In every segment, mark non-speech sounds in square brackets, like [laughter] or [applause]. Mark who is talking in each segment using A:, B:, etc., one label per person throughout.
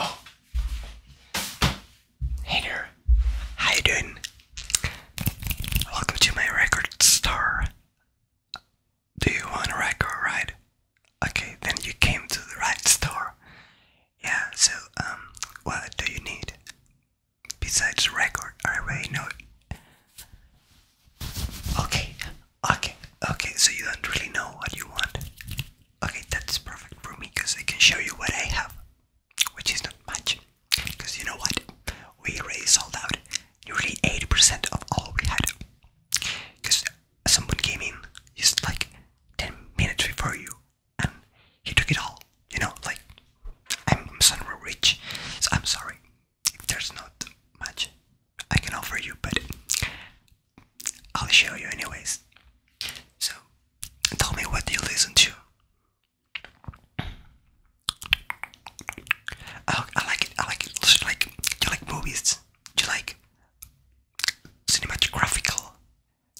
A: Oh, hey there, how you doing? Welcome to my record store. Do you want a record, right? Okay, then you came to the right store. Yeah, so, um, what do you need? Besides the record, I already know it. Okay, okay, okay, so you don't really know what you want. Okay, that's perfect for me because I can show you what I have, which is not much. Because you know what? We already sold out nearly 80% of all we had. Because someone came in just like 10 minutes before you and he took it all, you know, like I'm, i rich, so I'm sorry if there's not much I can offer you, but I'll show you anyways. So, tell me what you listen to. I like I like like, do you like movies? Do you like cinematographical,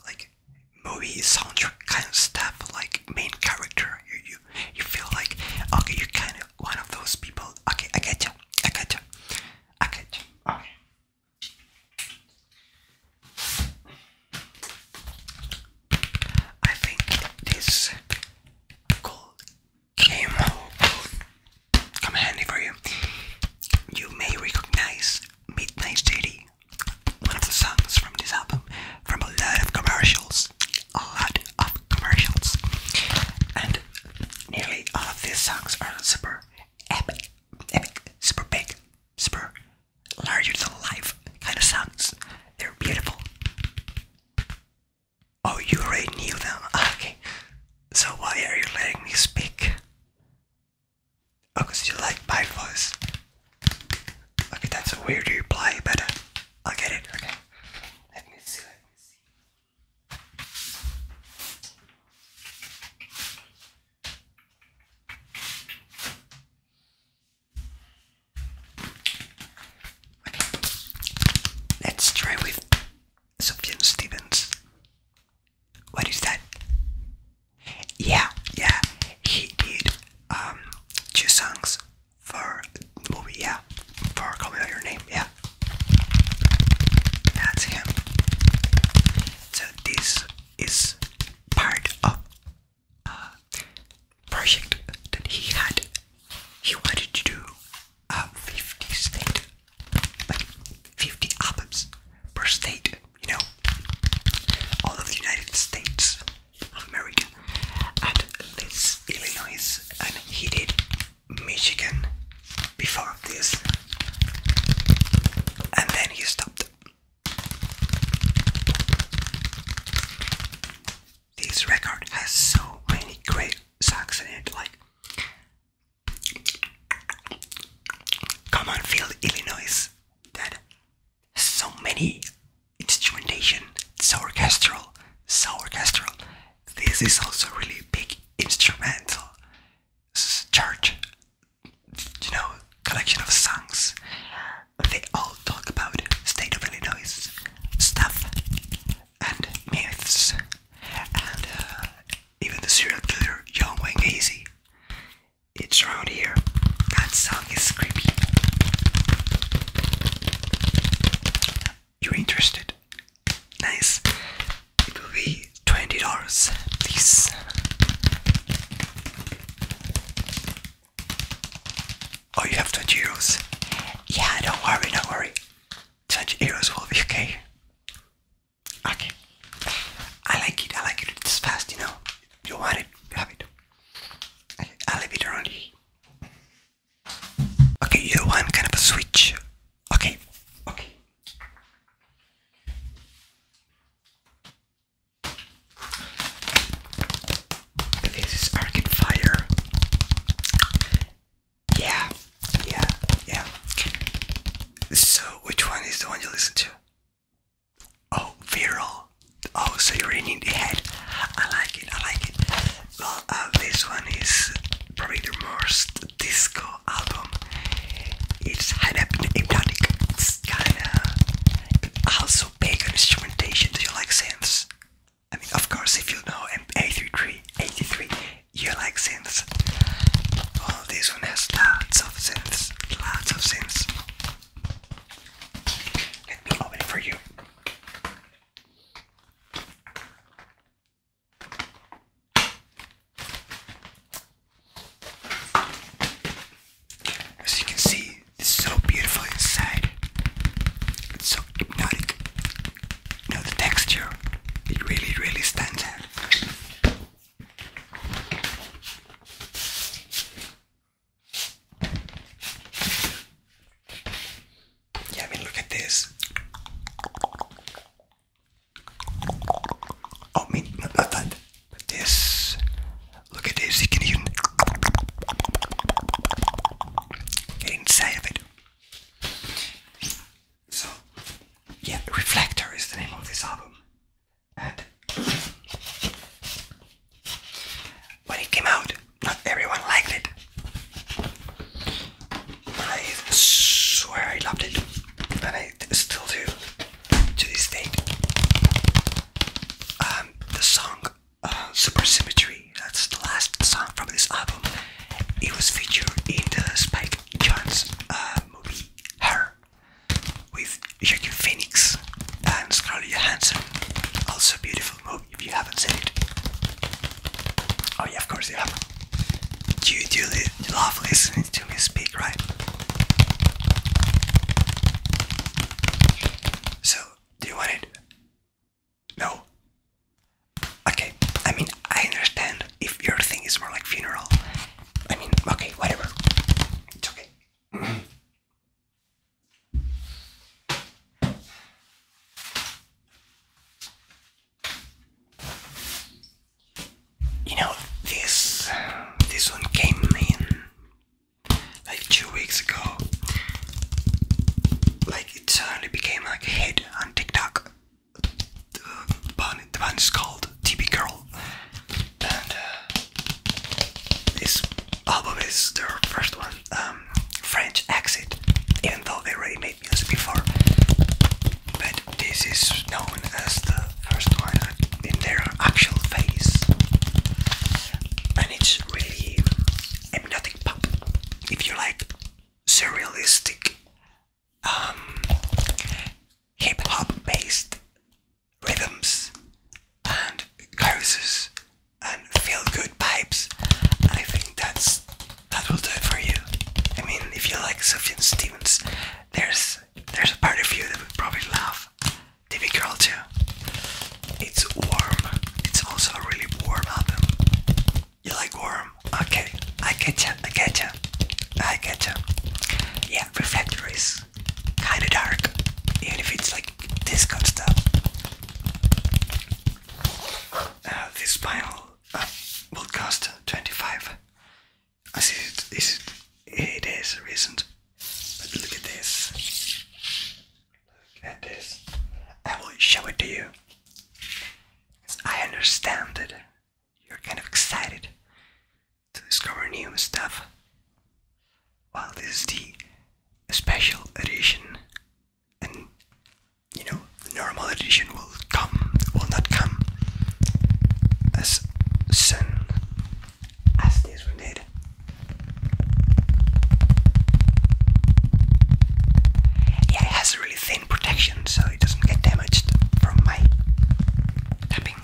A: like movie soundtrack kind of stuff? Like main character? You, you you. feel like, okay, you kind of one of those people. Okay, I get you. I get you. I get you. Okay. I think this call game will come handy for you. You may recognize Midnight City, one of the songs from this album, from a lot of commercials a lot of commercials, and nearly all of these songs are super super big, super larger than life kind of songs. They're beautiful. Oh, you already knew them. Ah, okay. So why are you letting me speak? because oh, you like my voice. Okay, that's a weird reply, but I'll get it. Okay. Let me see. Let us try with Sufjan Stevens. What is that? Yeah, yeah. He did um two songs for the movie, yeah. For Call Me By Your Name, yeah. That's him. So this is part of a project that he had. He wanted to do 50 state, like 50 albums per state, you know, all of the United States. American, and this Illinois, and he did Michigan before this, and then he stopped. This record has so many great songs in it, like Come on, Field, Illinois, that so many instrumentation, it's orchestral, so orchestral. This is also really big instrumental church, you know, collection of songs. They all talk about state of Illinois stuff and myths, and uh, even the serial killer Young Wayne Hazy. It's around here. That song is creepy. You're interested? Nice. It will be twenty dollars, please. Oh, you have twenty euros. Yeah, don't worry, don't worry. Twenty euros will be okay. Okay. I like it. I like it. It's fast, you know. You want it, you have it. I'll leave it Okay, you know I'm kind of a switch. Okay, okay. This is Arcade Fire. Yeah, yeah, yeah. So, which one is the one you listen to? Oh, Viral. Oh, so you're in the head. I like it, I like it. Well, uh, this one is probably the most disco album. It's kind of hypnotic. It's kind of also on instrumentation. Do you like synths? I mean, of course, if you know M83, 83, you like synths. Well, this one has lots of synths, lots of synths. Let me for you. As you can see, it's so beautiful inside. It's so hypnotic. You know, the texture, it really, really stands out. Yeah, I mean, look at this. Oh, I mean, not, that, but this. Look at this, you can even get inside of it. So, yeah, Reflector is the name of this album. And when it came out, not everyone liked it. I swear I loved it, and I still do to this day. Um, the song uh, "Supersymmetry" that's the last song from this album. It was featured in the Spike Jonze uh, movie *Her* with Joaquin Phoenix and Scarlett Johansson. Also, beautiful movie if you haven't seen it. Oh yeah, of course you have. not do you love listening to me speak, right? So, do you want it? No. Okay. I mean, I understand if your thing is more like funeral. I mean, okay, whatever. It's okay. [clears throat] You know, this this one came in like two weeks ago. Like it suddenly became like a hit on TikTok. The band, the band is called TB Girl, and uh, this album is their first one. Um, French exit, even though they already made music before. But this is known as the first one in their actual phase, and it's really hypnotic pop. If you like surrealistic, um, hip hop based rhythms and choruses and feel good pipes, I think that's that will do it for you. I mean, if you like Sophie and Stevens, there's there's a part of you that would probably love TV Girl too. It's warm. It's also a really warm album. You like warm? Okay, I get ya. I get ya. I get ya. Yeah, Reflectories. Kinda dark, even if it's like disco stuff. Uh, this vinyl will uh, cost 25. I see it is, it, it is recent, but look at this. Look at this. I will show it to you. I understand it. you're kind of excited to discover new stuff. Well, this is the special edition and you know the edition will come will not come as soon as this we need. Yeah, it has really thin protection so it doesn't get damaged from my tapping.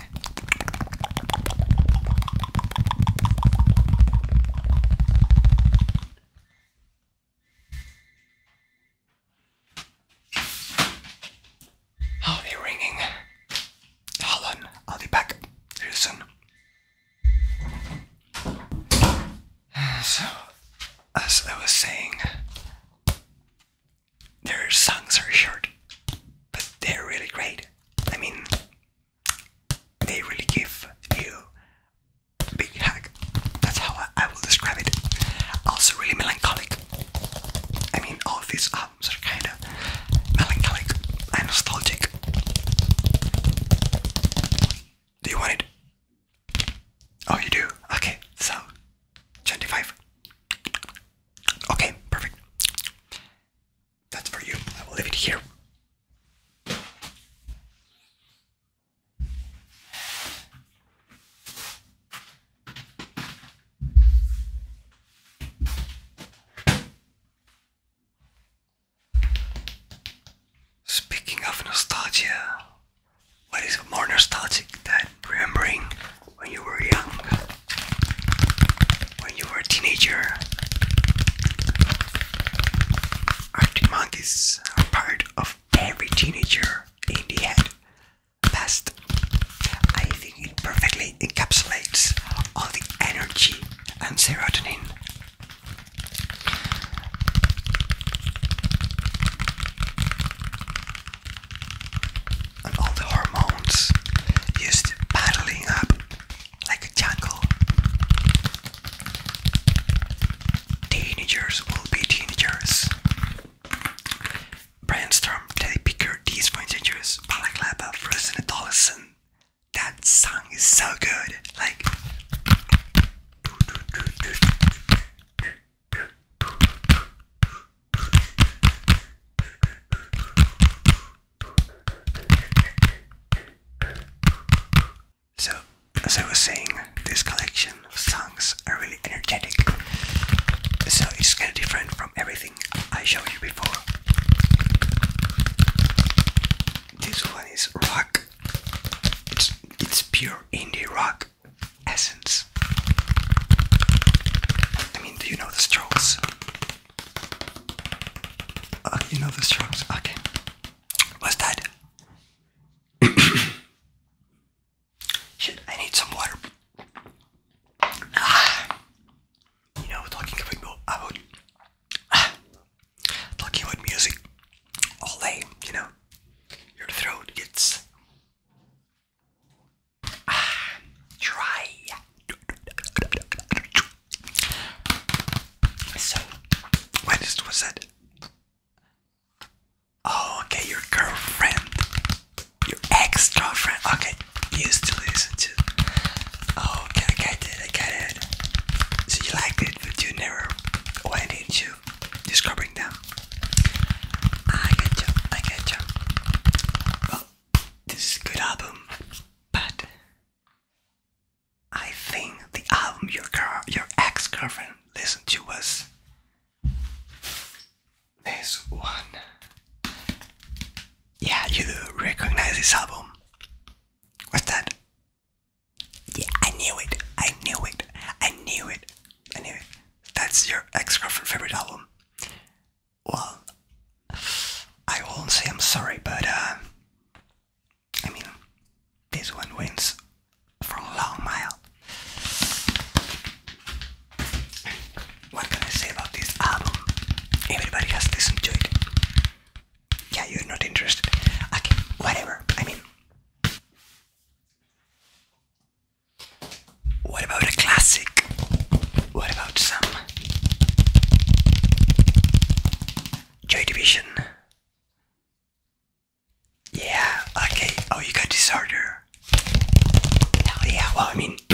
A: How are they ringing? Hold on, I'll be back soon. So, as I was saying, their songs are short, but they're really great. I mean, they really give you Big hack. That's how I, I will describe it. Also, really melancholic. I mean, all these albums are kind of melancholic and nostalgic. Do you want it? Oh, you do? Okay, so 25. Okay, perfect. That's for you. I will leave it here. Speaking of nostalgia, what is more nostalgic than remembering when you were young, when you were a teenager? Arctic Monkeys are part of every teenager in the head. I think it perfectly encapsulates all the energy and serotonin. And all the hormones used paddling up like a jungle. Teenagers will be teenagers. Brainstorm, Teddy Picker, These Teenagers, Balaclava, Frozen Adolescent. That song is so good. Like. So, as I was saying, this collection of songs are really energetic. So it's kind of different from everything I showed you before. This one is rock. It's, it's pure indie rock essence. I mean, do you know the Strokes? Uh, you know the Strokes? Okay. What's that? Shit, I need some water. Ah. You know, talking about about talking about music all day, you know, your throat gets ah, dry. So, when this Oh, okay, your girlfriend. Your ex-girlfriend. Okay, used to listen to. Oh, okay, I get it, I get it. So you liked it, but you never went into discovering them. Ah, I get you, I get you. this is good album, but I think the album your girl, your ex-girlfriend listen to us. This one. Yeah, you do recognize this album. What's that? Yeah, I knew it. I knew it. I knew it. I knew it. That's your ex girlfriend favorite album. Well, I won't say I'm sorry, but uh, I mean, this one wins from Long Mile. What can I say about this album? Everybody has listened to it. Yeah, you're not interested. Okay, whatever. I mean, what about a classic? What about some Joy Division? Yeah, okay. Oh, you got disorder. Hell yeah, well, I mean, [clears throat]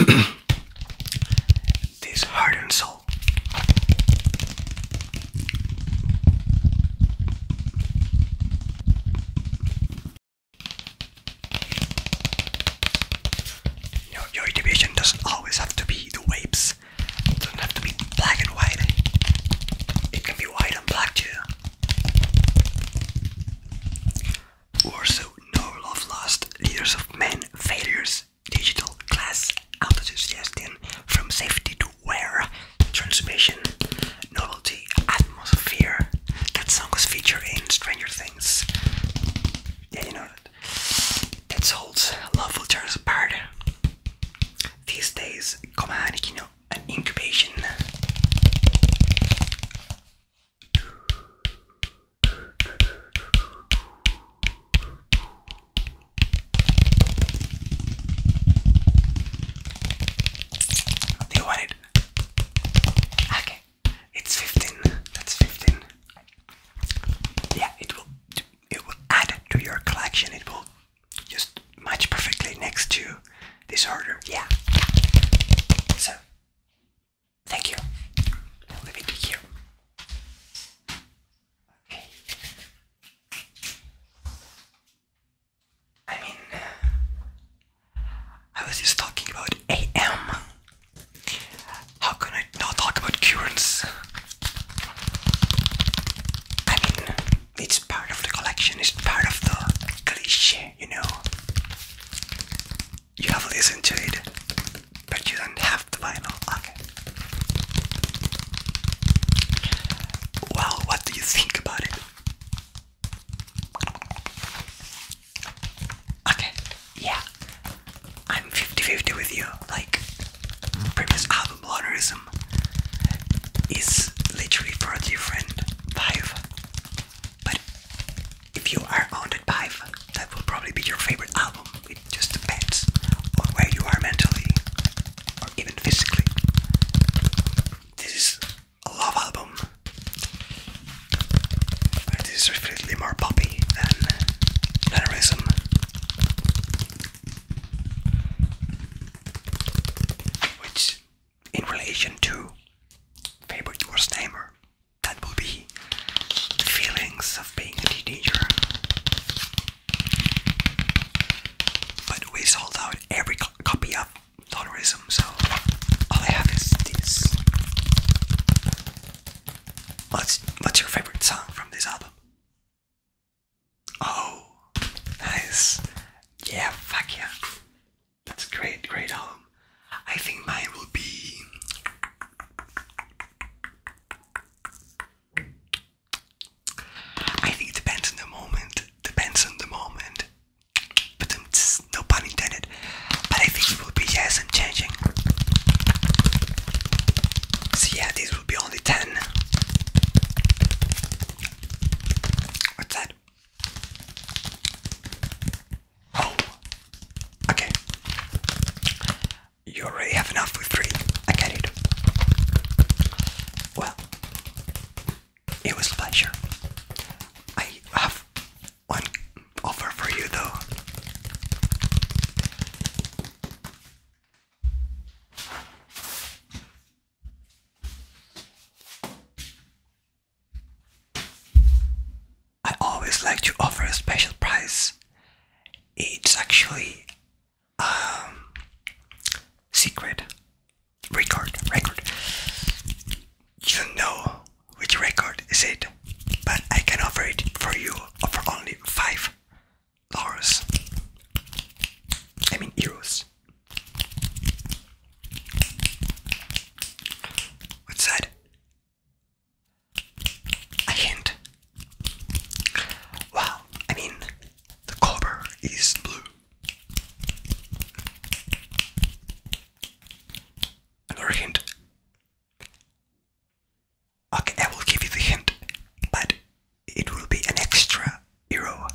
A: this heart and soul. You your division doesn't always have to be the waves. doesn't have to be black and white. It can be white and black too. Warsaw, No Love Lost, Leaders of Men, Failures, Digital, Class, Autosuggestion, From Safety to Where, Transmission, Novelty, Atmosphere. That song was featured in Stranger Things. Yeah, you know that. That holds Love Will Tear Us Apart. These days, come on, you know, an incubation. Do you want it? Okay, it's fifteen. That's fifteen. Yeah, it will. It will add to your collection. It will just match perfectly next to this order. Yeah. So, thank you. I'll leave it Okay. I mean, uh, I was just talking about AM. How can I not talk about currents? I mean, it's part of the collection, it's part of the cliche, you know. You have listened to it, but you don't have the vinyl. Okay. Well, what do you think about it? Okay, yeah. I'm 50 with you, like previous album, Lonerism is literally for a different vibe. But if you are on that vibe, that will probably be your favorite album. It just depends on where you are mentally or even physically. This is a love album, but this is definitely more poppy than mannerism. Which in relation to favorite Faber Jorsheimer. That will be the feelings of being a teenager. But we sold out every copy of Donorism, so all I have is this. What's, what's your favorite song from this album? Oh, nice. Yeah, fuck yeah. That's a great, great home. I think mine will be. I think it depends on the moment. Depends on the moment. But i um, no pun intended. But I think it will be yes, I'm changing. So yeah, this will be only 10. What's that? Oh, okay. You already have enough with three. I get it. Well, it was a pleasure. I have one offer for you though. I always like to offer a special price. It's actually a um, secret record record. You don't know which record is it, but I can offer it for you for only five dollars. I mean euros. What's that? A hint. Wow, I mean, the copper is blue. Another hint. Okay, I will give you the hint, but it will be an extra euro.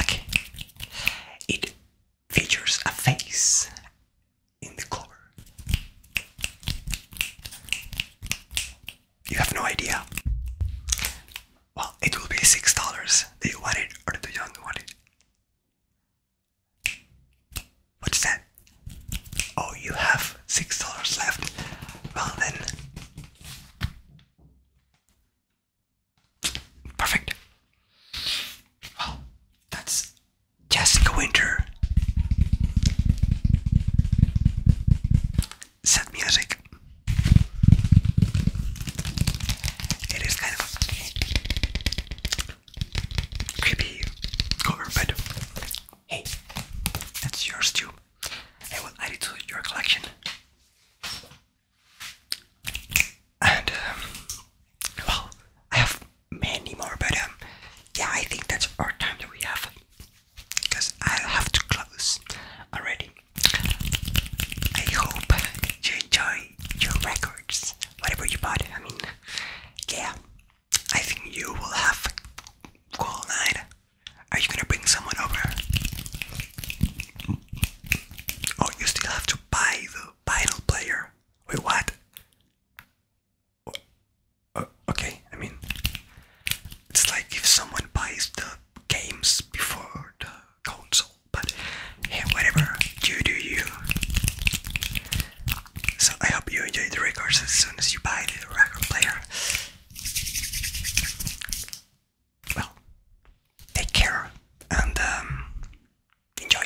A: Okay. It features a face in the cover. You have no idea. Well, it will be six dollars. Do you or do you not What's that? Oh, you have six dollars left. Well, then Perfect. Well, that's Jessica Winter. Sad music. It is kind of a creepy cover, but hey, that's yours too. I will add it to your collection. And um, well, I have many more, but um, yeah, I think that's our time that we have because I have to close already. I hope you enjoy your records, whatever you bought. I mean, yeah, I think you will have a cool night. Are you gonna bring someone over? Oh, you still have to buy the vinyl player. Wait, what? Uh, uh, okay, I mean, it's like if someone buys the games before the console, but hey, whatever, you do you. So I hope you enjoy the records as soon as you buy the record player well, take care and um, enjoy.